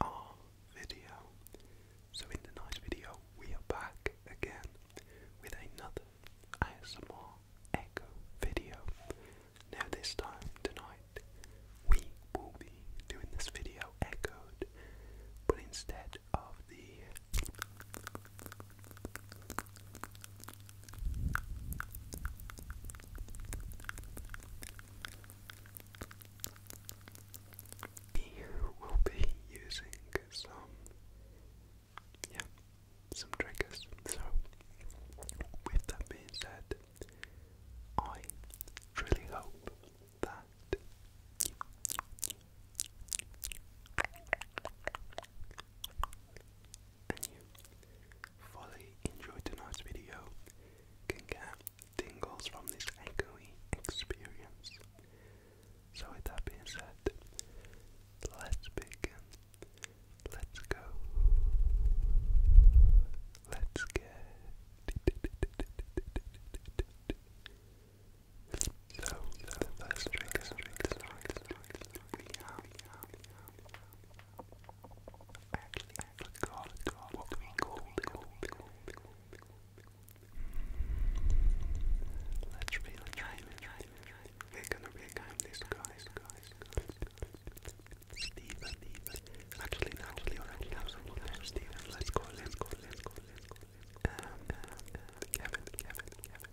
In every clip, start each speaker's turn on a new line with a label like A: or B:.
A: our video. So in tonight's video, we are back again with another ASMR Echo video. Now this time tonight, we will be doing this video echoed, but instead of the we will be using some, yeah, some triggers. So, with that being said, I really hope that you fully enjoyed tonight's video can get tingles from this echoey experience. So, with that being said, let's begin. Let's go. Let's get. So, so the first trigger, trigger, forgot what we called it. Let's really time it. We're gonna reclaim this guys, guys, guys. Steven, actually, actually, already have someone there. let's go, let's go, let's go, let's go. Um, Kevin, Kevin, Kevin.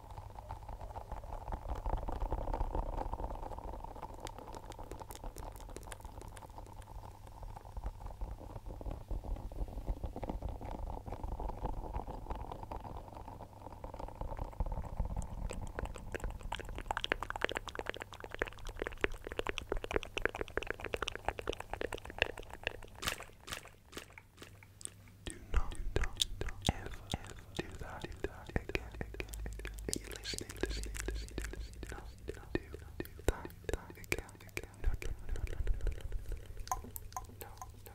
A: Do not, do not, do not ever, ever, do that, do that again, again, again. You're listening, listening, listening, listening. No, no, do, do that, that again, again. No, no, no, no, no, no, no, no, no, no.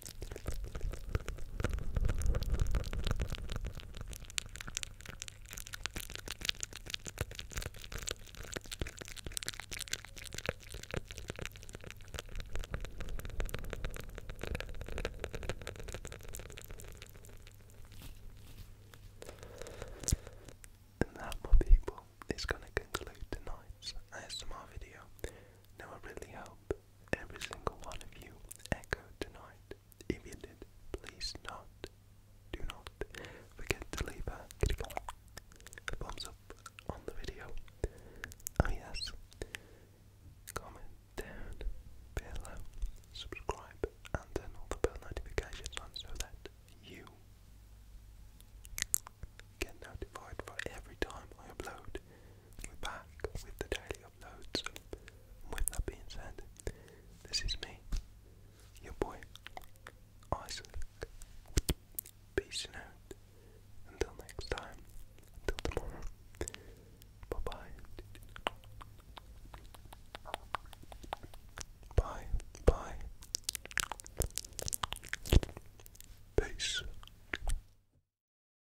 B: And that, my people, is going to conclude tonight's ASMR video. Now, I really hope every single one of you echo tonight. If you did, please not, do not forget to leave a thumbs up on the video. Oh yes, comment down below, subscribe, and turn all the bell notifications on so that you get notified for every time I upload. We're back with the daily uploads. With that being said, this is me, your boy, Isaac. Peace out. Until next time, until tomorrow. Bye bye. Bye bye. Peace.